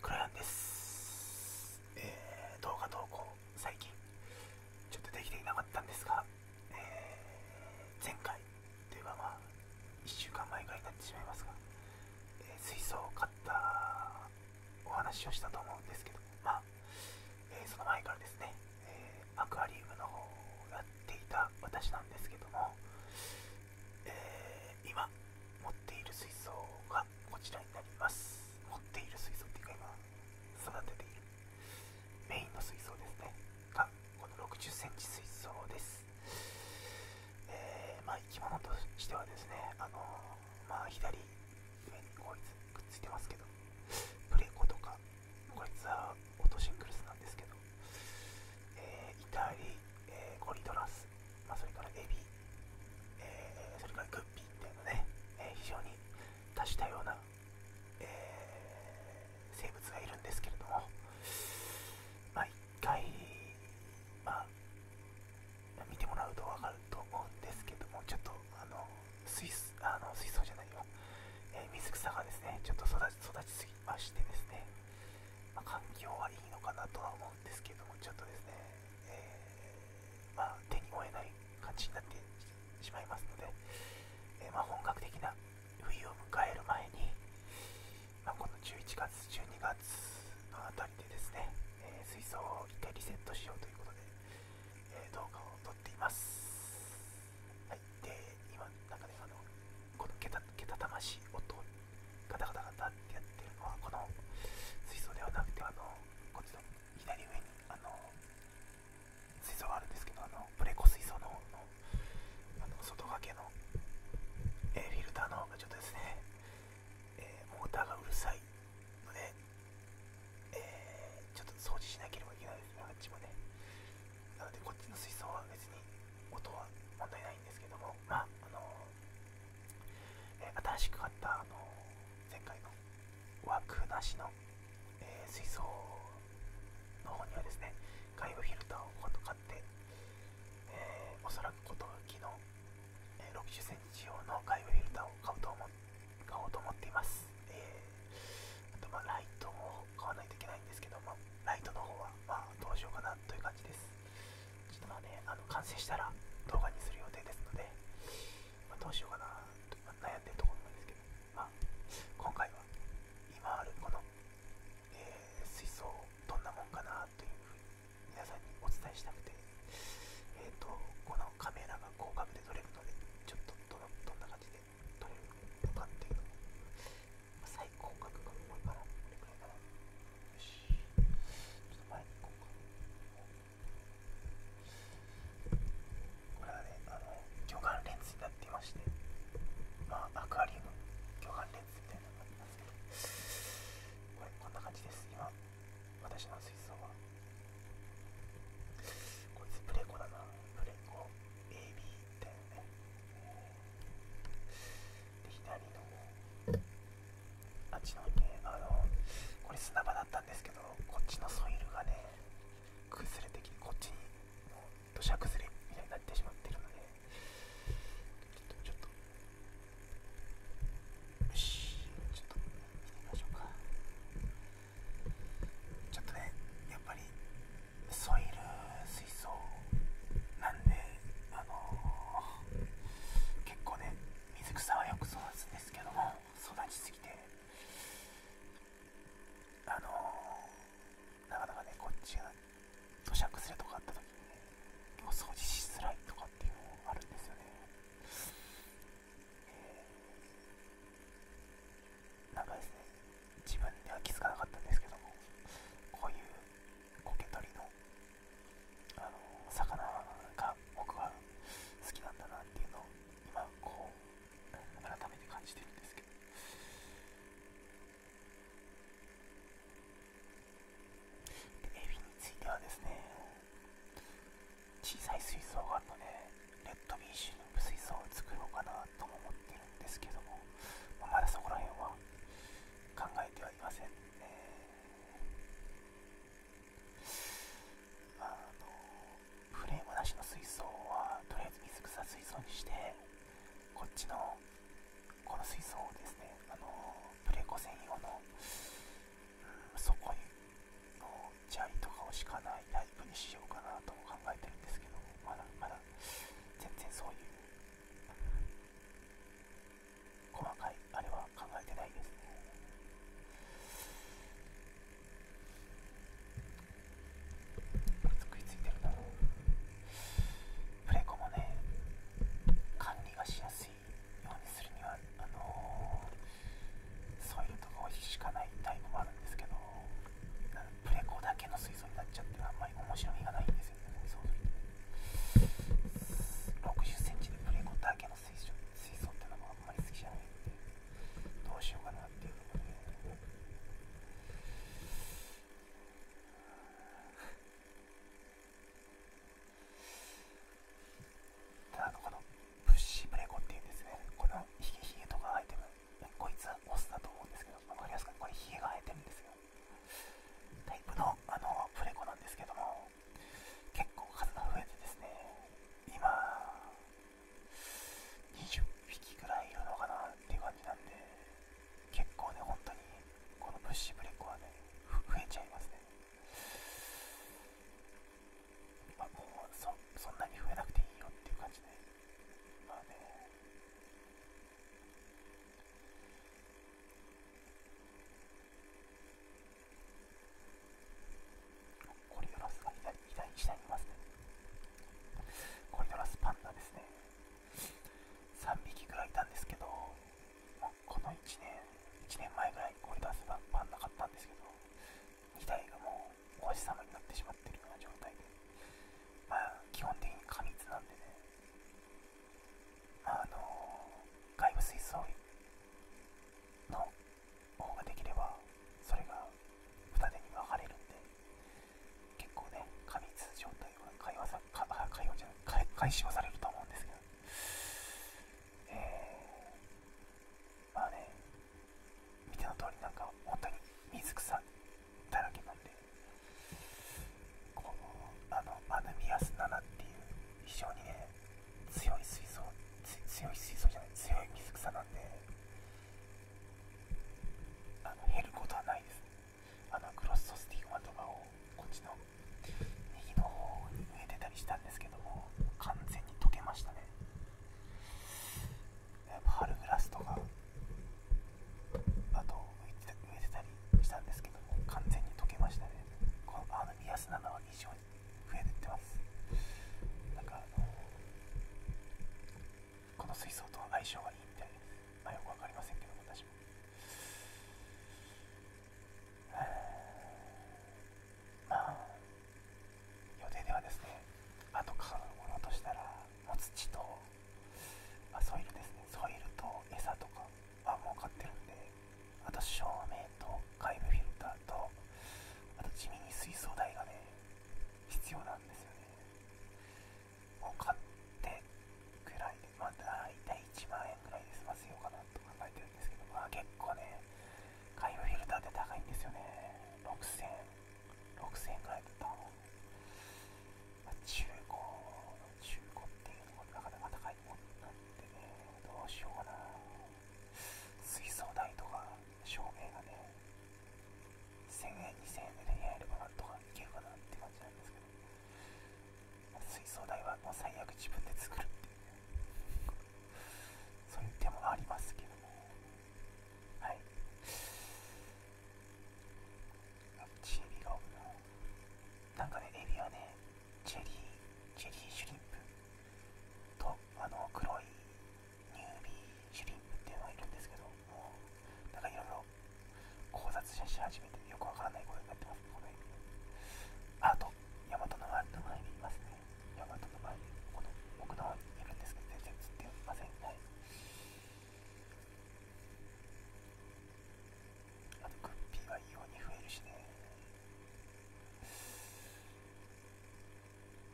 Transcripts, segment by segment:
クライアンです、動画投稿最近ちょっとできていなかったんですが、前回というかまあ1週間前ぐらいになってしまいますが、水槽を買ったお話をしたと思うんですけどまあ、その前からですね、アクアリウムの方をやっていた私なんですけどもえ今持っている水槽がこちらになります持っている水槽っていうか今育てているメインの水槽ですねがこの6 0 c m 水槽です、えま生き物としてはですねあのま左上にこいつくっついてますけどプレコとかこいつはオートシングルスなんですけどえイタリ、えー、コリドラス、まあ、それからエビ、えそれからグッピーっていうのね、え非常に多種多様な、え生物がいるんですけれども、まあ、回、ま見てもらうと分かると思うんですけども、ちょっとあの水あの水槽じゃないよ、え水草がですね、ちょっと育ち育ちすぎましてですね、ま環境はいいのかなとは思うんですけども、ちょっとですね、えま手に負えない感じになってしまいますので、えま本格的な冬を迎える前に、まこの11月、12月のあたりでですね、え水槽を1回リセットしようということで、え動画を撮っています。はい、で、今、なんかね、あの、このけたけたましい音、ガタガタガタってやってるのは、この水槽ではなくて、あの、こっちの左上に、あの、水槽があるんですけど、あの、プレコ水槽のあの、外掛けの、えフィルターの方がちょっとですね、えモーターがうるさいので、えちょっと掃除しなければいけないですね、あっちもね。なのでこっちの水槽は別に音は問題ないんですけどもまあのえ新しく買ったあの前回の枠なしの、え水槽の方にはですね外部フィルターを買って、えおそらく今年の、え60センチ用の外部フィルターを買うと思買おうと思っています。えあと、まライトも買わないといけないんですけど、まライトの方は、あ、どうしようかなという感じです。ちょっとまあね、あの完成したら動画にする予定ですので、どうしようかなと、ま悩んでるところなんですけど、今回は今あるこの、え水槽どんなもんかなというふうに皆さんにお伝えしたくて、えっ、と、このカメラが広角で撮れるので、ちょっとどのどんな感じで取れるかっていうのまあ、最高格が重いからこれくらいかなよしちょっと前に行こうかこれはねあの魚眼レンズになっていましてまあアクアリウム魚眼レンズみたいなのがありますけどこれこんな感じです今私の水槽はこいつプレコだなプレコ AB だよねで左のあっちのねあのこれ砂場だったんですけどこっちのソイルがね崩れてきてこっちにもう土砂崩れみたいになってしまってるのでちょっとよしちょっと見てみましょうか。ちょっとねやっぱりソイル水槽なんであの結構ね水草はよく育つんですけども育ちすぎてあのなかなかねこっちが土砂崩れとかあった時にねお掃除しづらいとかっていうのもあるんですよねえなんかですね自分では気づかなかったんですけどこういうコケ取りのあの魚が僕は好きなんだなっていうのを今こう改めて感じてるんですけどでエビについてはですね小さい水槽があるのでレッドビーシュの水槽を作ろうかなとも思ってるんですけども、まだそこら辺は考えてはいませんフレームなしの水槽はとりあえず水草水槽にしてこっちのこの水槽をですねあのプレコ専用の、うん、底にのチャイとかを敷かないタイプにしようかなと考えてるんですけどまだまだ全然そういう細かいあれは考えてないですねくっついてるなプレコもね管理がしやすいしようにするにはあのー、そういうところしかないタイプもあるんですけどプレコだけの水槽になっちゃってあんまり面白みがないんですよねそうすると6 0ンチでプレコだけの水槽ってのもあんまり好きじゃないんでどうしようかなっていうので、ね、あのこのプッシュブレコっていうんですねこのヒゲヒゲとか生えてるこいつはオスだと思うんですけど分かりやすくこれヒゲが生えてるんですよタイプのあのフレコなんですけども結構数が増えてですね今20匹ぐらいいるのかなっていう感じなんで結構ね本当にこのプッシュブレコはね増えちゃいますねまあ、もうそそんなに増えなくていいよっていう感じで、まあね、コリドラスが左左下にいますね。コリドラスパンダですね。3匹ぐらいいたんですけど、この1年1年前ぐらいにゴリ出せばパンなかったんですけど2台がもうお星様になってしまってるような状態でまあ基本的に過密なんでねまああの外部水槽の方ができればそれが二手に分かれるんで結構ね過密状態は解放さ解じゃない解消されると思うんですけどえまあね見ての通りなんか本当に水草だらけなんでこのあのアヌミアス7っていう非常にね強い水槽強い水槽じゃない強い水草なんであの減ることはないですあのクロスソスティグマとかをこっちの右の方に植えてたりしたんですけども完全に溶けましたねやっぱ春グラスとかあと植えてたりしたんですけども完全に溶けましたねこのあの宮砂は以上に増えてってますなんかあのこの水槽との相性がいいみたいですあよく分かりませんけど私もまあ予定ではですねあと買うものとしたら、まあ、土と、まあ、ソイルですねソイルと餌とかはもう買ってるんであと照明と外部フィルターとあと地味に水槽代がね必要なんですよねを買ってくらいで、まあ、大体1万円ぐらいで済ませようかなと考えてるんですけど、まあ、結構ね、海洋フィルターって高いんですよね。6000、6000円ぐらいだったの。ま中古、の中古っていうのもなかなか高いもんなんでね、どうしようかな。水槽台とか照明がね、1000円2000円でやればなんとかいけるかなって感じなんですけど水槽代はもう最悪自分で作るっていうねそういう手もありますけどもはいチエビが多いななんかねエビはねチェリーチェリーシュリンプとあの黒いニュービーシュリンプっていうのがいるんですけどもうなんかいろいろ考察し始めてよくわからないことになってますね、この辺。あと、ヤマトの前の前にいますね。ヤマトの前に、この奥の方にいるんですけど、全然映ってませんね。あと、グッピーは異様に増えるしね。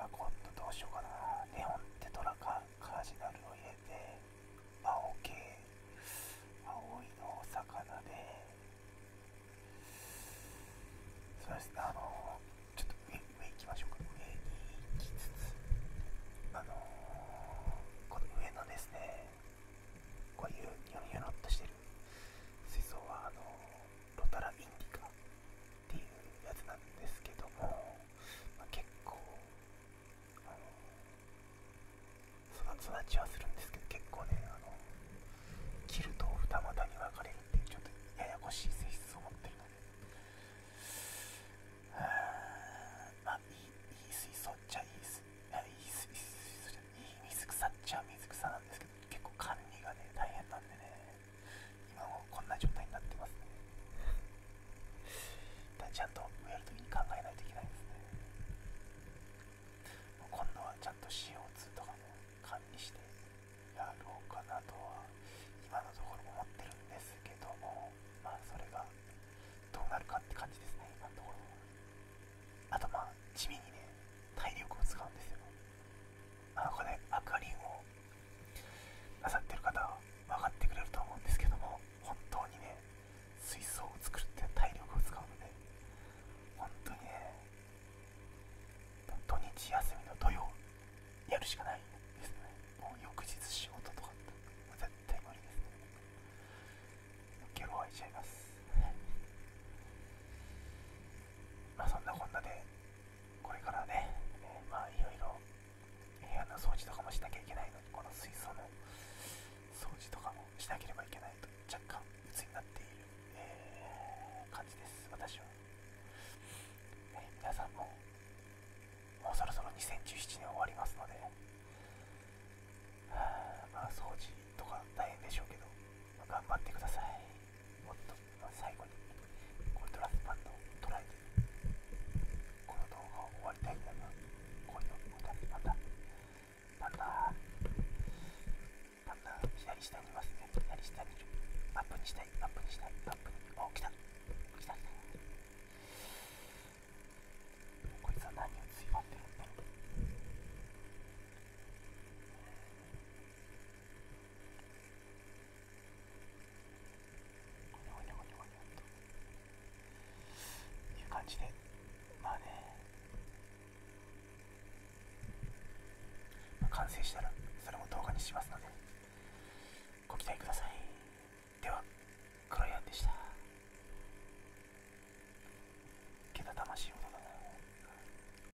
あ、今度どうしようかな。ネオンテトラかカージナルを入れて、青系青いのお魚でそうですねあのちょっと上上行きましょうか上に行きつつあのこの上のですねこういうニロニロっとしてる水槽はあのロタラインディカっていうやつなんですけども、まあ、結構あの育ちはするんですけど結構ねあの切ると二股に分かれるっていうちょっとややこしい性質を持ってるのでまあいいいい水槽っちゃいい水いい水槽じゃいい水草っちゃ水草なんですけど結構管理がね大変なんでね今もこんな状態になってますねちゃんと植えるときに考えないといけないですね今度はちゃんと CO2 とかも管理してやろうかなとは今のところ思ってるんですけどもまあそれがどうなるかって感じですね今のところあとまあ地味にね体力を使うんですよあのこれ、ね、明かをなさってる方は分かってくれると思うんですけども本当にね水槽を作るって体力を使うので本当にね土日休みの土曜やるしかないですねもう翌日仕事とかって絶対無理ですねゲロ吐いちゃいます まそんなこんなでこれからね、まあいろいろ部屋の掃除とかもしなきゃいけないのにこの水槽の掃除とかもしなければいけないと若干鬱になっている、え感じです私は、皆さんももうそろそろ2017年終わりますのでまあ掃除とか大変でしょうけど、頑張ってくださいもっと最後にコントラスバンドを捉えてこの動画を終わりたいんだがこれをまたまたまたまた左下にいますね左下にいるアップにしたいアップにしたいアップにお来た来たきたこいつは何をついまってるんだろうほにゃほにゃほにゃという感じでまあね、完成したらそれも動画にしますのでご期待くださいではク黒やんでしたけた魂を